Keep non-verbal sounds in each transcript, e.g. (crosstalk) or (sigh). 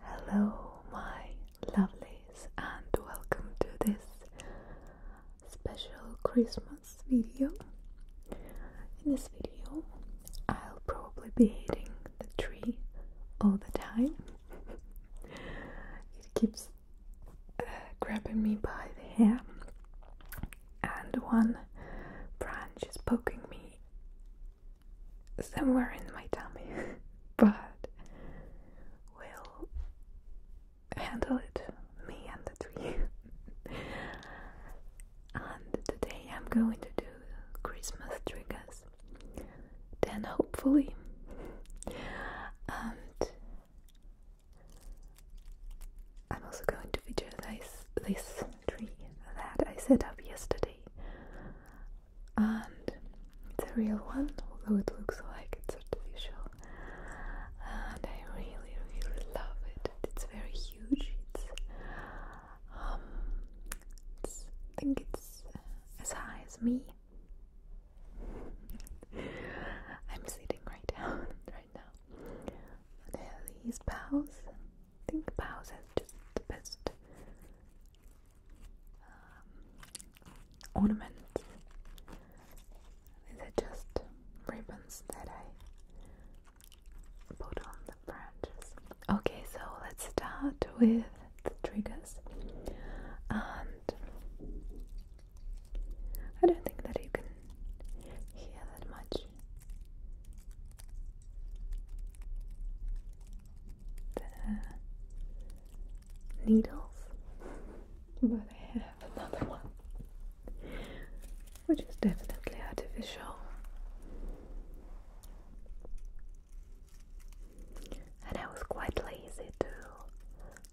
Hello, my lovelies, and welcome to this special Christmas video. In this video, I'll probably be hitting the tree all the time. (laughs) it keeps grabbing me by the hair, and one branch is poking me somewhere in my tummy, (laughs) but we'll handle it, me and the tree. (laughs) and today I'm going to do Christmas triggers, then hopefully. I'm also going to feature this tree that I set up yesterday. And it's a real one, although it looks like it's artificial. And I really, really love it. It's very huge. it's um, I think it's as high as me. (laughs) I'm sitting right down (laughs) right now. But these bows, I think bows is just the best um, ornaments. These are just ribbons that I put on the branches. Okay, so let's start with the triggers. Um, I don't think that you can hear that much. The needles, but I have another one, which is definitely artificial. And I was quite lazy too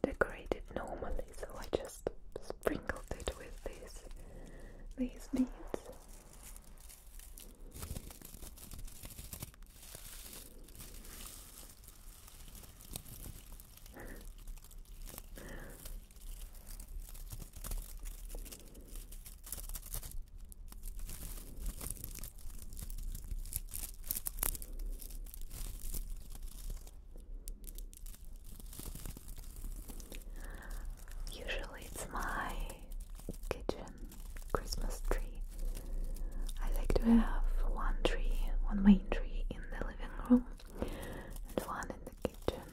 decorated normally, so I just sprinkled it with these these beads. Usually it's my kitchen Christmas tree. I like to have one tree, one main tree in the living room and one in the kitchen.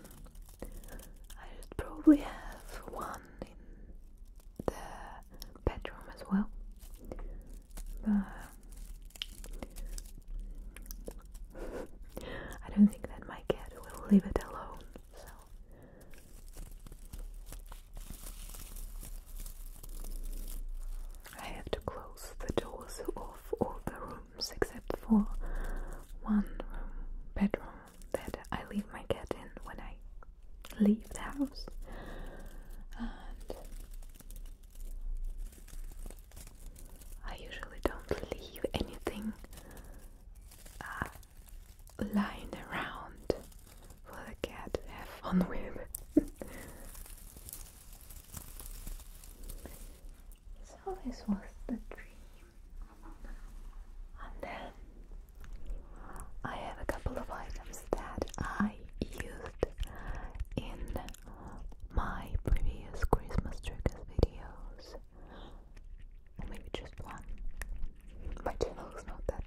I should probably have one in the bedroom as well. (laughs) I don't think that my cat will leave it alone, so. I have to close the doors of all the rooms except for one bedroom that I leave my cat in when I leave the house. I usually don't leave anything uh, lying around for the cat to have fun (laughs) with. so, this was the dream. And then I have a couple of items that I used in my previous Christmas triggers videos, maybe just one. My channel is not that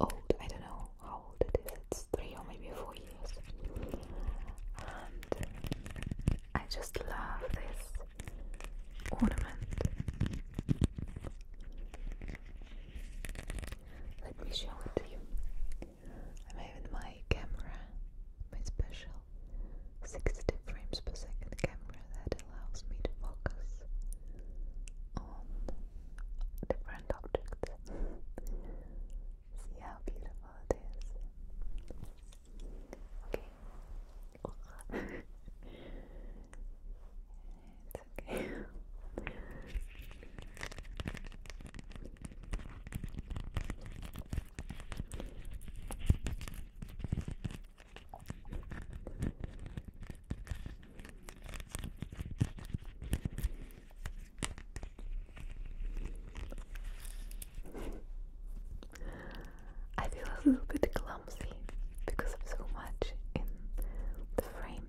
old, I don't know how old it is, it's three or maybe four years. And I just love this ornament. Let me show it to you. I made with my camera, my special 60 frames per second camera that allows me to focus on different objects. (laughs) See how beautiful (laughs) it's okay. (laughs) I feel a little bit clumsy because of so much in the frame,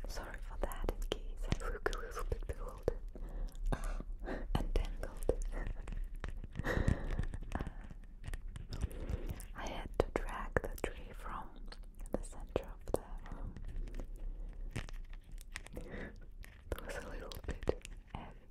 so sorry for that in case I look a little bit uh, entangled uh, I had to drag the tree from the center of the room it was a little bit heavy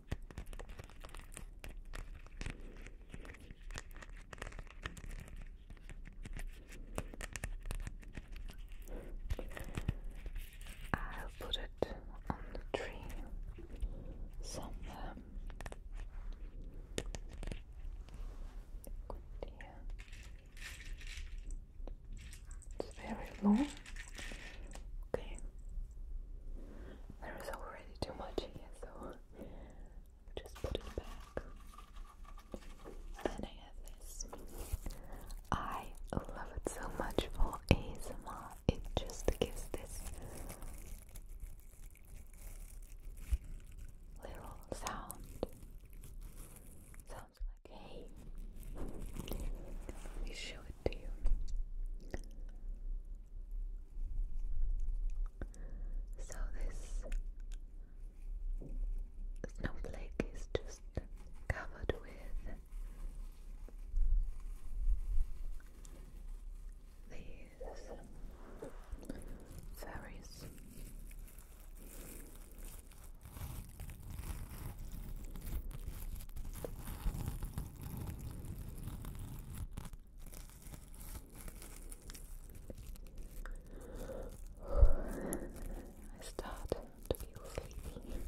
I'll put it on the tree somewhere. It's very long. Okay. There is already too much here, so (laughs) I'll just put it back. Then I have this. I love it so much for ASMR. It just gives this little sound. Sounds like hey. Let me show it you. So this snowflake is just covered with these fairies. I start to feel sleepy.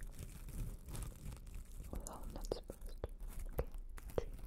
Although I'm not supposed to. Okay,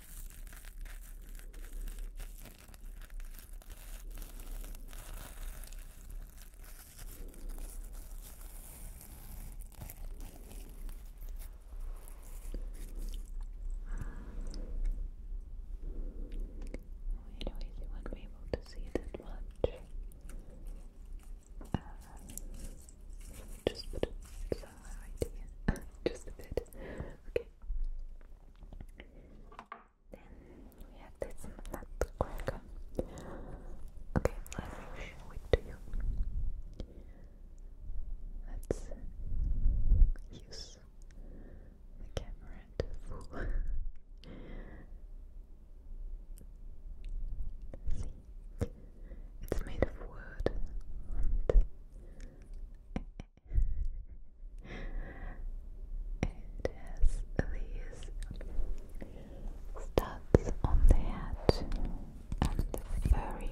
Anyways, you won't be able to see that much. just put it Just a bit. Okay. Then we have this nut Okay, let me show it to you. Let's use the camera to fool. See, it's made of wood it has these studs on the head and the furry hair.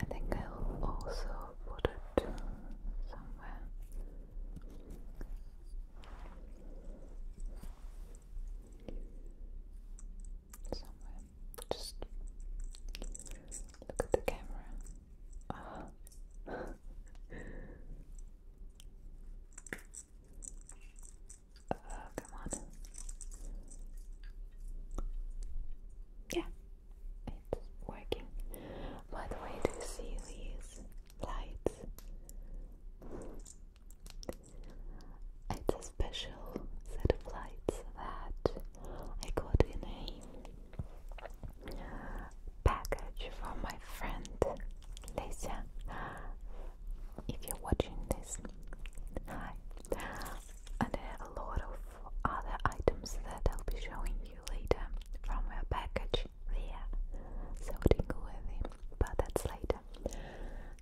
I think I'll also put it somewhere. Somewhere. Just look at the camera. Ah. (laughs) Oh, come on. Yeah, it's working. By the way, do you see these lights? It's a special set of lights that I got in a package from my friend Lesia. If you're watching this, hi and I have a lot of other items that I'll be showing you later from her package there. So tingle with him, but that's later.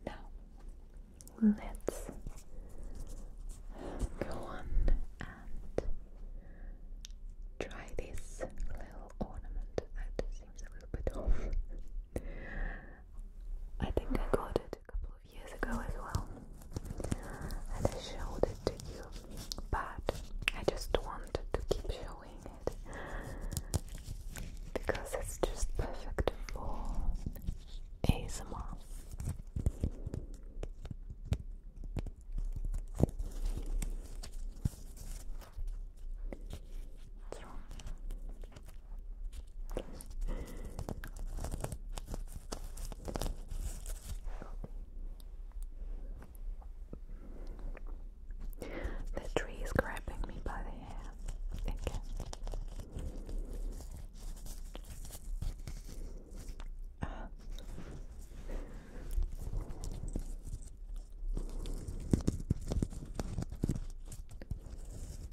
Now let's go on and try this little ornament that seems a little bit off. I think I got it a couple years ago as well, and I showed it to you, but I just wanted to keep showing it because it's just perfect for ASMR. The tree is grabbing me by the hair. Okay.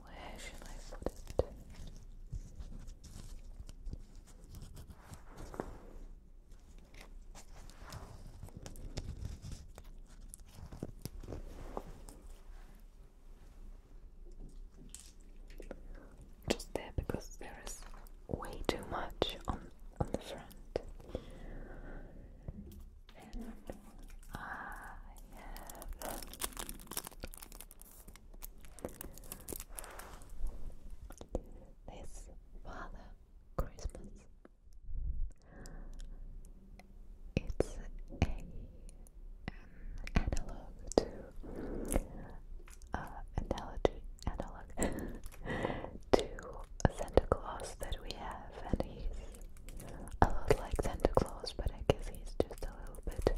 Where should I put it? Just there because there is way too much on on the front. And I have this Father Christmas it's a um, analog to uh, analog (laughs) to Santa Claus that we have, and he's a lot like Santa Claus, but I guess he's just a little bit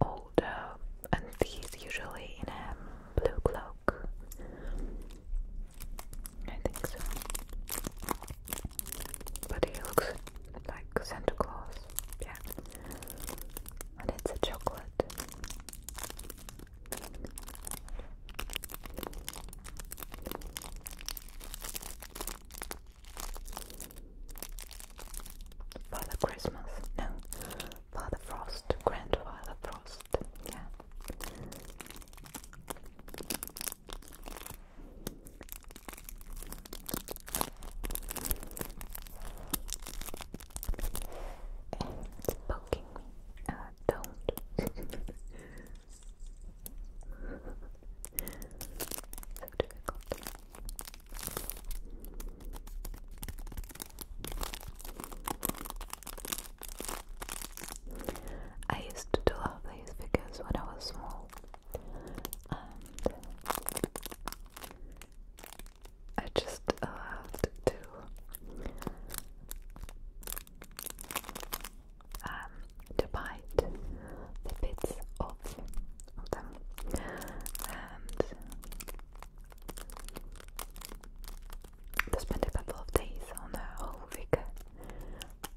older, and he's usually in a blue cloak. I think so. But he looks like Santa Claus, yeah. And it's a chocolate. Father Christmas, no, Father Frost, Grandfather Frost, yeah. It's poking me. Uh, don't. (laughs) (laughs) so difficult. I used to love these because when I was small, I just loved to um to bite the bits off of them, and I spent a couple of days on a whole week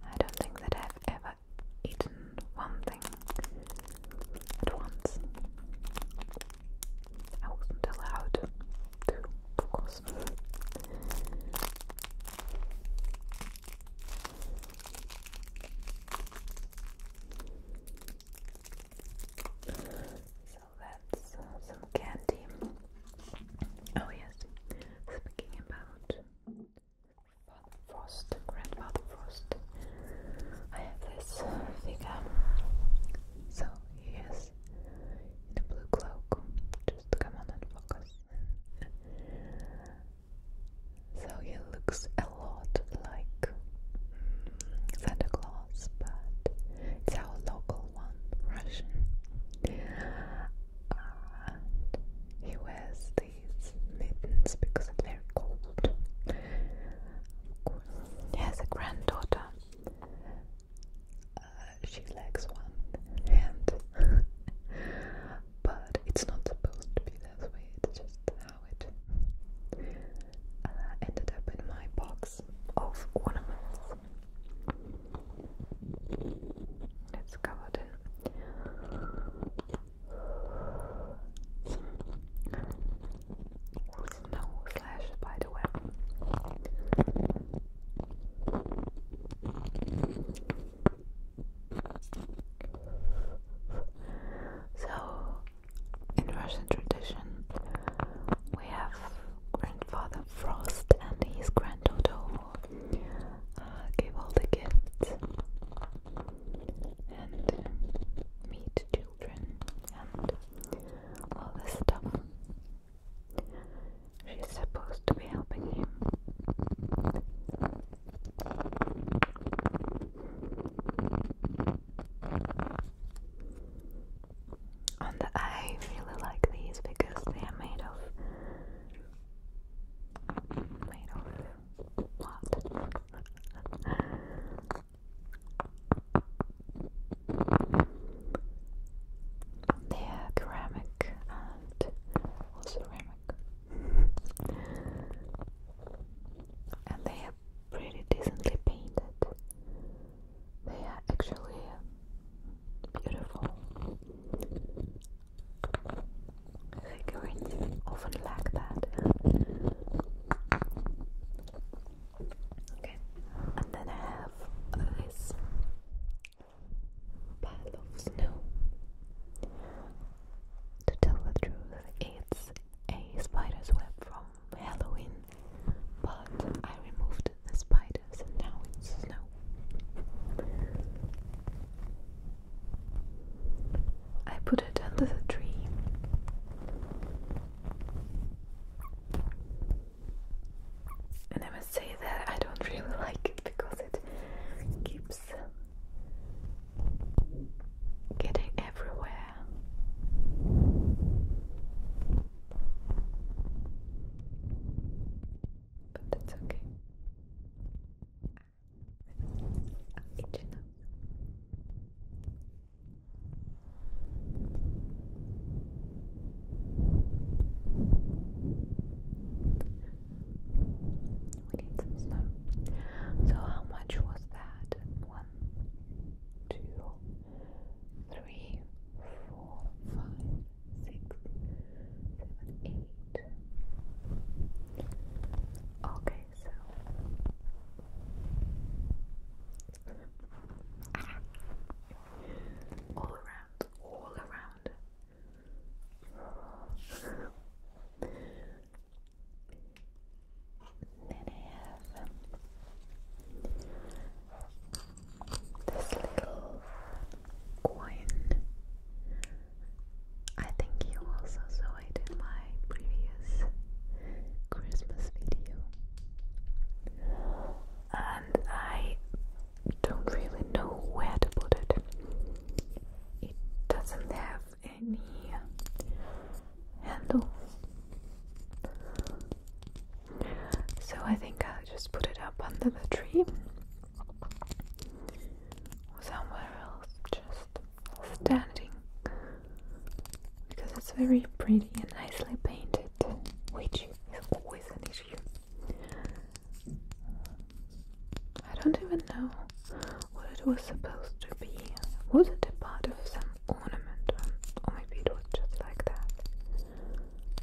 I don't think that I've ever eaten one thing at once. I wasn't allowed to, of course. So that's some candy. Oh, yes, Speaking about Frost, Grandfather Frost, I have this figure. So he is in a blue cloak. Just come on and focus. so he looks a lot like mm, Santa Claus, but it's our local one, Russian he wears these mittens because they're cold. he has a granddaughter. Uh, she likes one hand, (laughs) but it's not supposed to be that way. It's just how it uh, ended up in my box of ornaments. It's covered in snow slash spider web. So, in Russian tradition, we have grandfather Frost and his granddaughter all uh, all the gifts and meet children and all this stuff. She's supposed to be helping him. And I really like these because they are made of made of what? they are ceramic and or ceramic, and they are pretty decently painted. They are actually beautiful. Figurines often lack that. Okay, and then I have this pile of snow. To tell the truth, it's a spider's web from Halloween, but I removed the spider and now it's snow. I put it under the tree. And I must say that I don't really (laughs) like it because it keeps um, getting everywhere but that's okay. I'll eat you now. We need some So how much was that? One, two, three, four, five, six, seven, eight. Okay, so all around, all around. then I have this little coin. I think you also saw it in my previous Christmas video. And I don't really know where to put it. It doesn't have any handle. So I think I'll just put it up under the tree somewhere else, just standing because it's very pretty and nicely painted, which is always an issue. I don't even know what it was supposed to be. Was it a part of some ornament, or oh, maybe it was just like that?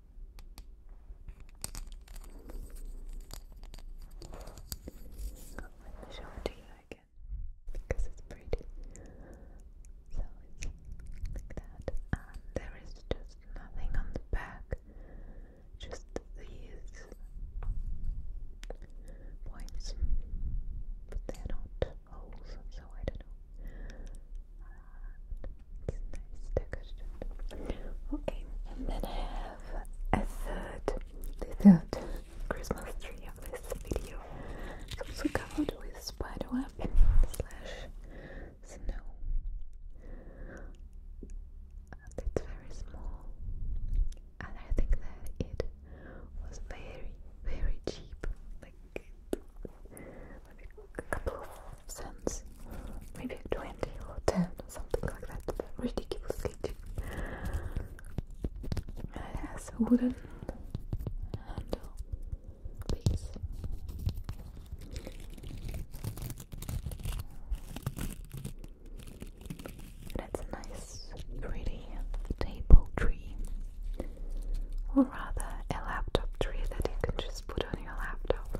Let me show it to you again because it's pretty. So like that, and there is just nothing on the back, just these points, but they're not holes, so I don't know. Okay, and then I have a third, the third Christmas tree of this video. It's also covered with spiderweb slash snow. it's very small, and I think that it was very, very cheap. Like, like a couple of cents, maybe 20 or 10 or something like that, but ridiculously it has a wooden handle piece. a nice, pretty table tree, or rather a laptop tree that you can just just put on your laptop.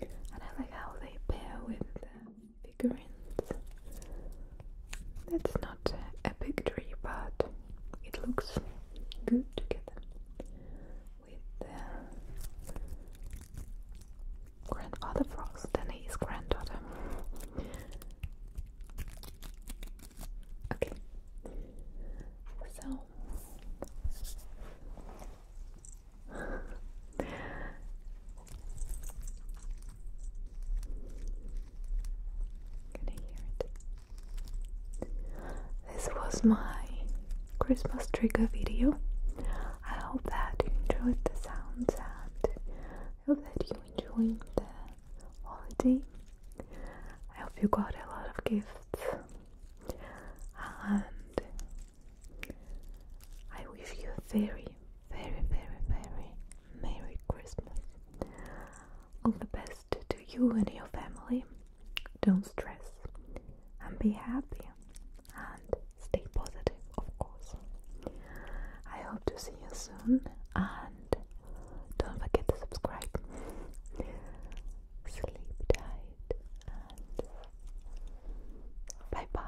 and I like how they pair with the figurines. That's not a big tree, but it looks good together with grandfather frost and his granddaughter. Okay, so this was my Christmas trigger video. I hope that you enjoyed the sounds and I hope that you enjoyed the holiday. I hope you got a lot of gifts and I wish you a very, very, very, very Merry Christmas. All the best to you and your family. Don't stress and be happy and stay positive, of course. I hope to see you soon and don't forget to subscribe. Sleep tight and bye bye.